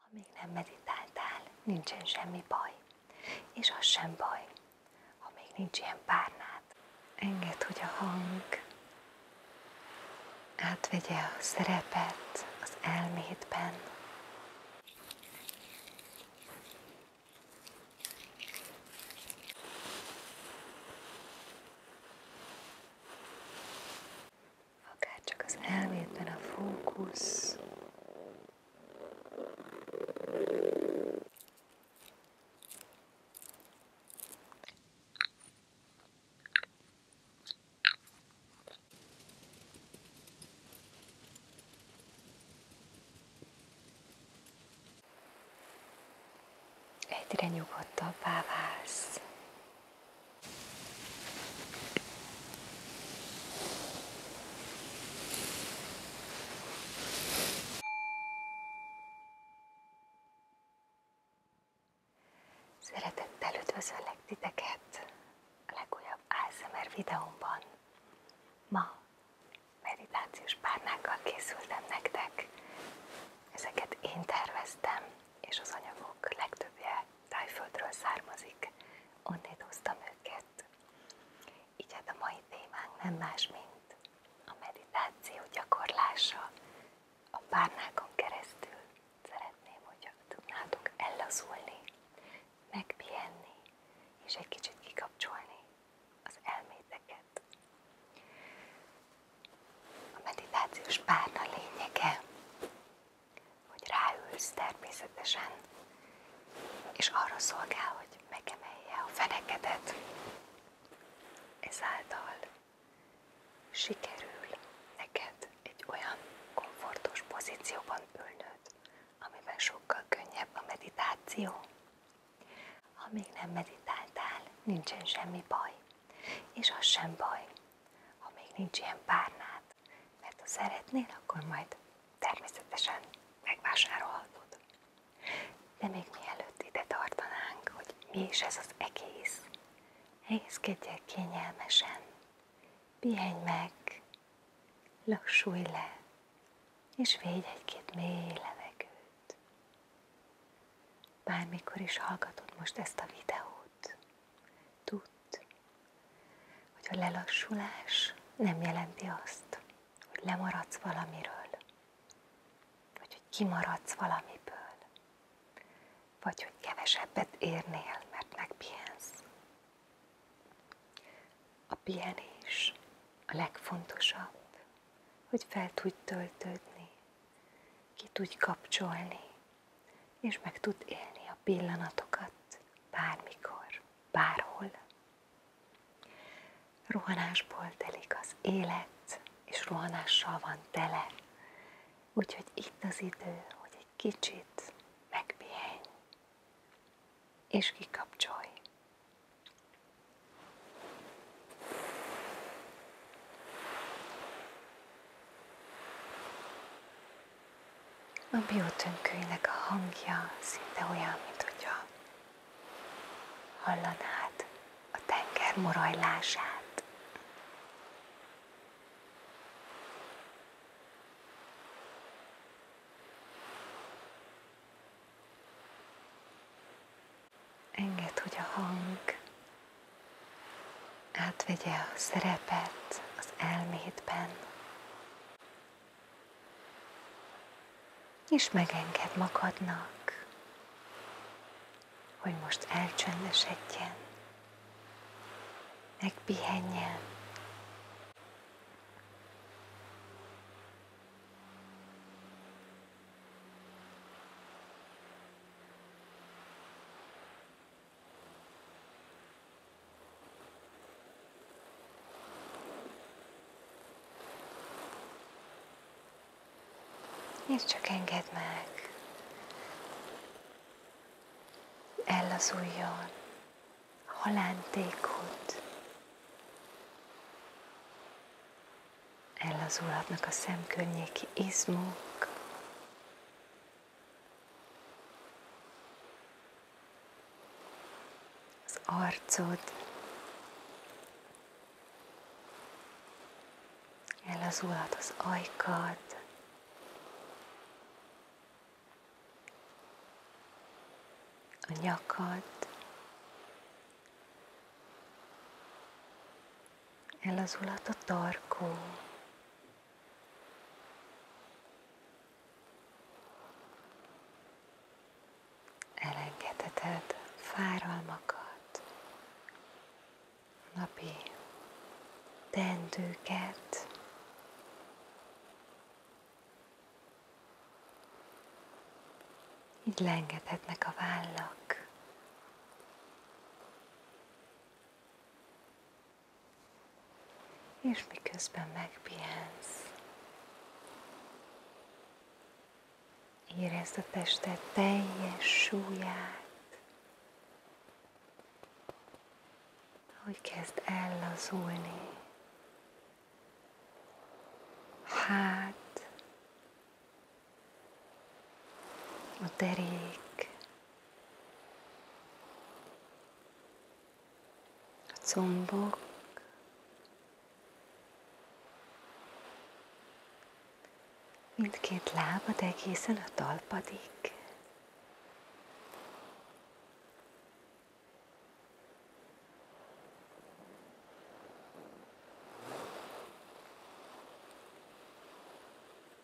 Ha még nem meditáltál, nincsen semmi baj. És az sem baj, ha még nincs ilyen párnád. Engedd, hogy a hang átvegye a szerepet az elmédben akár csak az elmédben a fókusz, egyre nyugodtabbá válsz. Szeretettel üdvözöllek titeket a legújabb ASMR videómban. Ma meditációs párnákkal készültem nektek. Ezeket én terveztem, és az anyagok legtöbbje Tájföldről származik, onnét hoztam őket. Így hát a mai témánk nem más, mint a meditáció gyakorlása a párnákon keresztül. Szeretném, hogyha tudnátok ellazulni, megpihenni, és egy kicsit kikapcsolni az elméteket. A meditációs párna lényege hogy ráülsz természetesen, és arra szolgál, hogy megemelje a fenekedet. Ezáltal sikerül neked egy olyan komfortos pozícióban ülnöd, amiben sokkal könnyebb a meditáció. Ha még nem meditáltál, nincsen semmi baj, és az sem baj, ha még nincs ilyen párnád, mert ha szeretnél, akkor majd természetesen megvásárolhatod. De még mielőtt ide tartanánk, hogy mi is ez az egész, helyezkedjél kényelmesen, pihenj meg, lassulj le, és védj egy-két mély levegőt. Bármikor is hallgatod most ezt a videót, tudat tud, hogy a lelassulás nem jelenti azt, hogy lemaradsz valamiről, vagy hogy kimaradsz valamiből, vagy hogy kevesebbet érnél, mert megpihensz. A pihenés a legfontosabb, hogy fel tudj töltődni, ki tudj kapcsolni és meg tud élni a pillanatokat bármikor, bárhol. Rohanásból telik az élet, és rohanással van tele. Úgyhogy itt az idő, hogy egy kicsit megpihenj, és kikapcsolj. A biotönkőinek a hangja szinte olyan, mint hogyha hallanád a tenger morajlását. hogy a hang átvegye a szerepet az elmédben, és megenged magadnak, hogy most elcsöndesedjen, megpihenjen, és csak engedd meg. Ellazuljon halántékot. Ellazulhatnak a szemkörnyéki izmok, az arcod, ellazulhat az ajkad, a nyakad, ellazulhat a tarkó, Elengedheted fáralmakat, napi tendőket, így lengedhetnek a vállak és miközben megpihensz, érezd a tested teljes súlyát, hogy kezd ellazulni. Hát, a derék, a combok, mindkét lábad egészen a talpadig.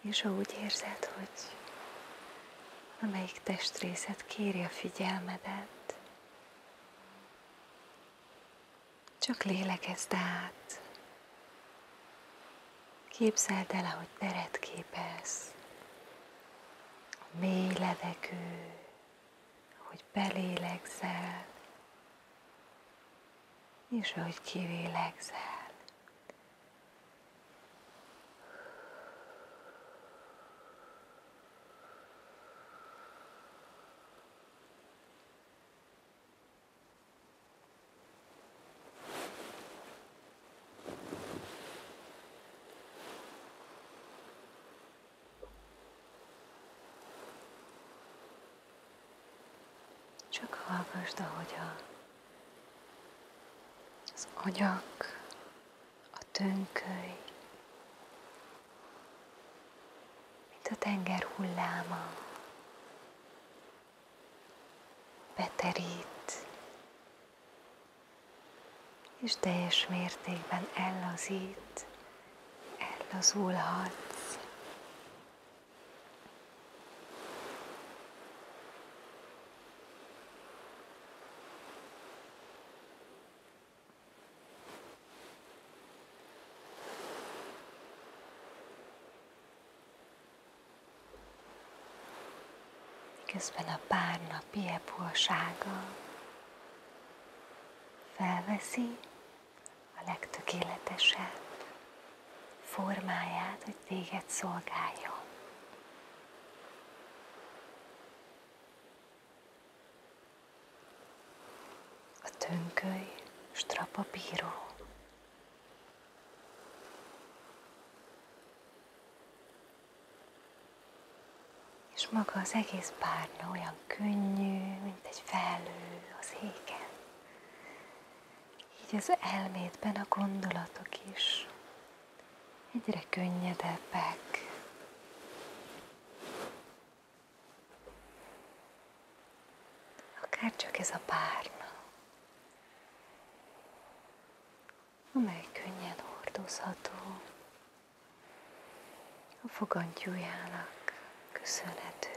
És ha úgy érzed, hogy amelyik testrészed kéri a figyelmedet, csak lélegezd át. Képzeld el, ahogy teret képez. A mély levegő, hogy belélegzel, és ahogy kivélegzel. Csak hallgasd, ahogy a, az agyak, a tönköly, mint a tenger hulláma beterít, és teljes mértékben ellazít, ellazulhatsz közben a párna piepolsága felveszi a legtökéletesebb formáját, hogy téged szolgáljon. A tönköly strapabíró. És maga az egész párna olyan könnyű, mint egy felő az égen. Így az elmédben a gondolatok is egyre könnyedebbek. Akár csak ez a párna, amely könnyen hordozható a fogantyújának köszönhetően.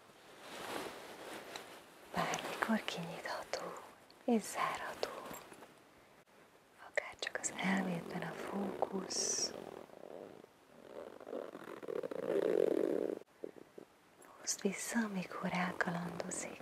bármikor kinyitható és zárható. Akár csak az elmédben a fókusz, hozd vissza, amikor elkalandozik.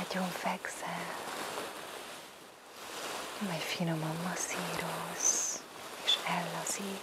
ágyon fekszel, mely finoman masszíroz és ellazít.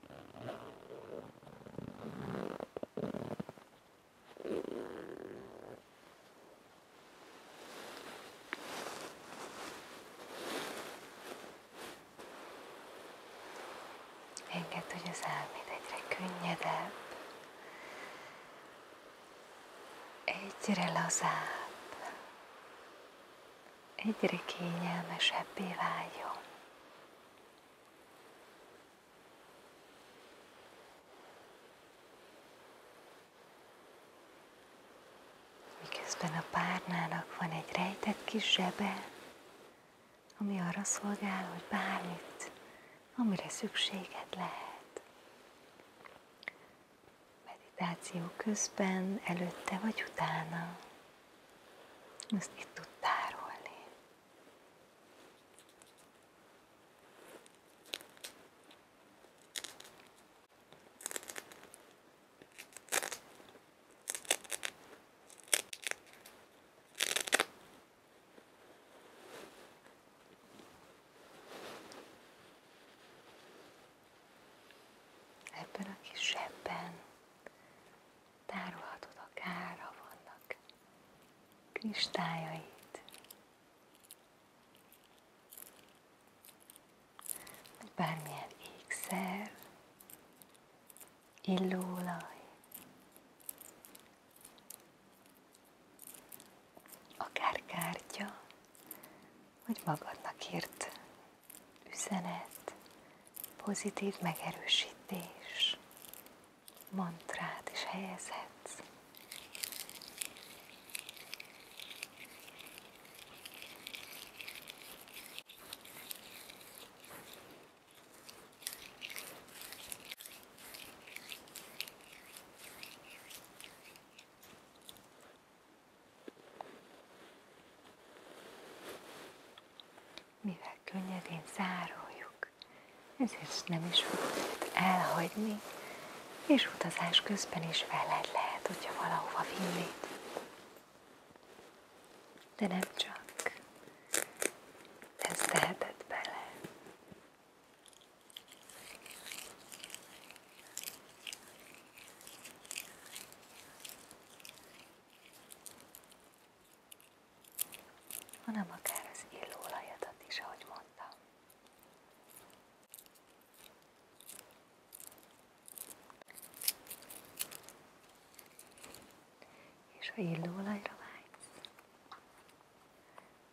Engedd, hogy az könnyedebb, egyre lazább, egyre kényelmesebbé váljon. Miközben a párnának van egy rejtett kis zsebe, ami arra szolgál, hogy bármit, amire szükséged lehet. Meditáció közben, előtte vagy utána, azt itt tud tárolni. Ebben a kis zsebben tárolhatod akárha vannak kristályait, vagy bármilyen ékszer, illóolaj, akár kártya, vagy magadnak írt üzenet, pozitív megerősítés, mantrát is helyezhetsz. Mivel könnyedén zároljuk. Ezért nem is fogod elhagyni, és utazás közben is veled lehet, hogyha valahova vinnéd. De nem csak. Ez teheted bele hanem akár az illóolajadat is, ahogy mondtam. És ha illóolajra vágysz,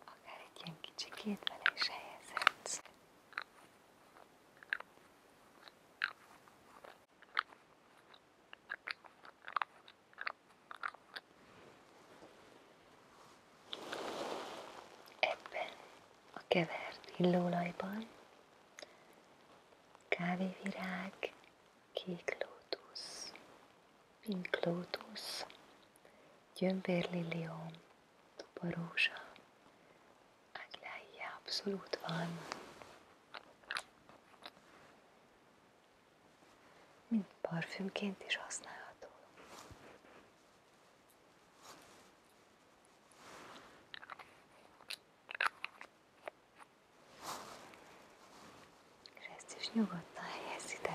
akár egy ilyen kicsi bele is Ebben a kevert illóolajban kávévirág, kék lótusz, pink lótusz, gyömbérliliom, tuparózsa, áglája abszolút van mint parfümként is használható. És ezt is nyugodtan helyez be.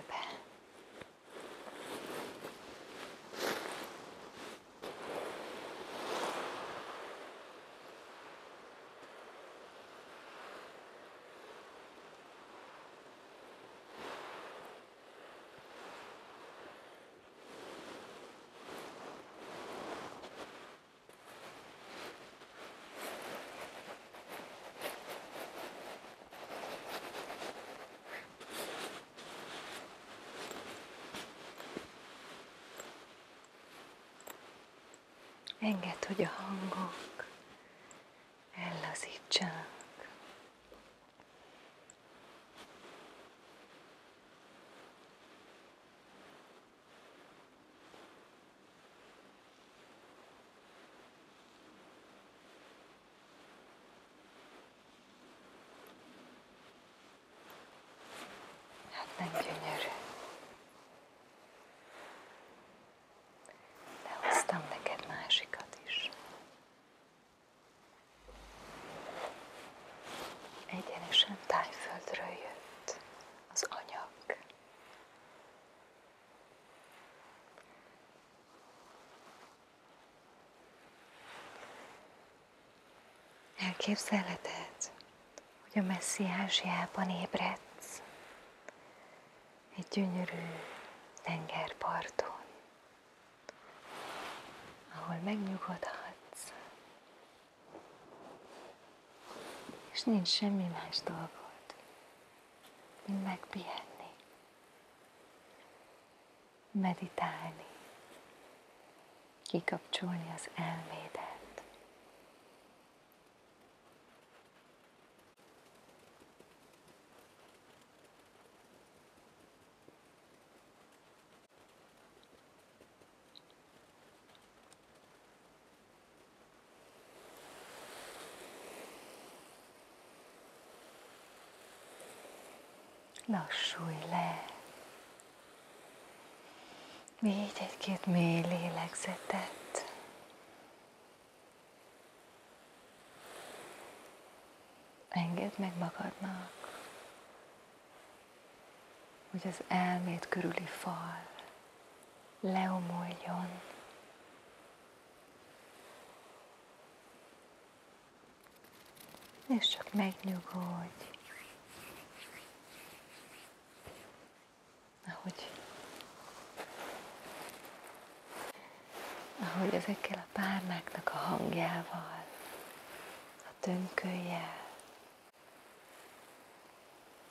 Engedd, hogy a hangok ellazítsanak. Hát nem gyönyörű de hoztam neked másikat is. Egyenesen tájföldről jött az anyag. Elképzelheted, hogy a messziásiában ébredsz, egy gyönyörű tengerparton, ahol megnyugodhatsz, és nincs semmi más dolgod, mint megpihenni, meditálni, kikapcsolni az elmédet. Lassulj le. Végy egy-két mély lélegzetet. Engedd meg magadnak, hogy az elmét körüli fal leomoljon. És csak megnyugodj ahogy, ahogy ezekkel a párnáknak a hangjával, a tönkölyel,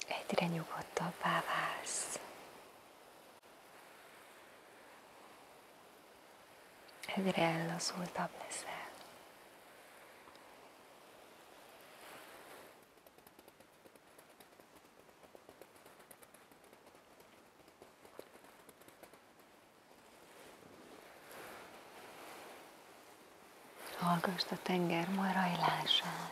egyre nyugodtabbá válsz. Egyre ellazultabb leszel. Hallgasd a tenger marajlását.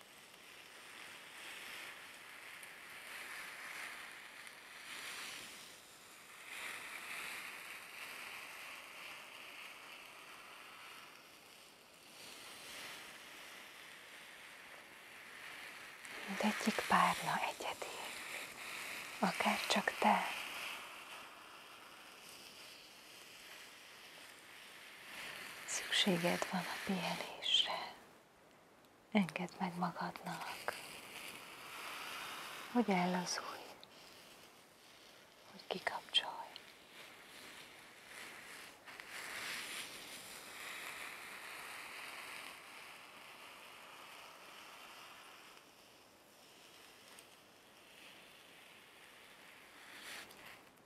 Mindegyik párna egyedi, akár csak te. Szükséged van a pihenésre. Engedd meg magadnak, hogy ellazulj, hogy kikapcsolj.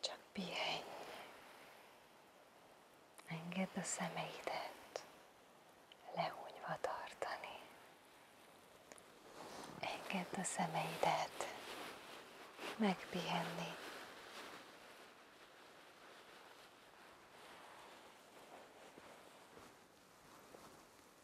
Csak pihenj. Engedd a szemeidet lehúnyva tartani. Engedd a szemeidet megpihenni.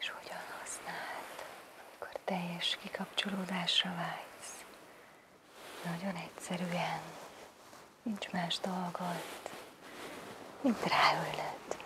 és hogyan használt akkor teljes kikapcsolódásra vágysz. Nagyon egyszerűen, nincs más dolgod, mint ráülnöd.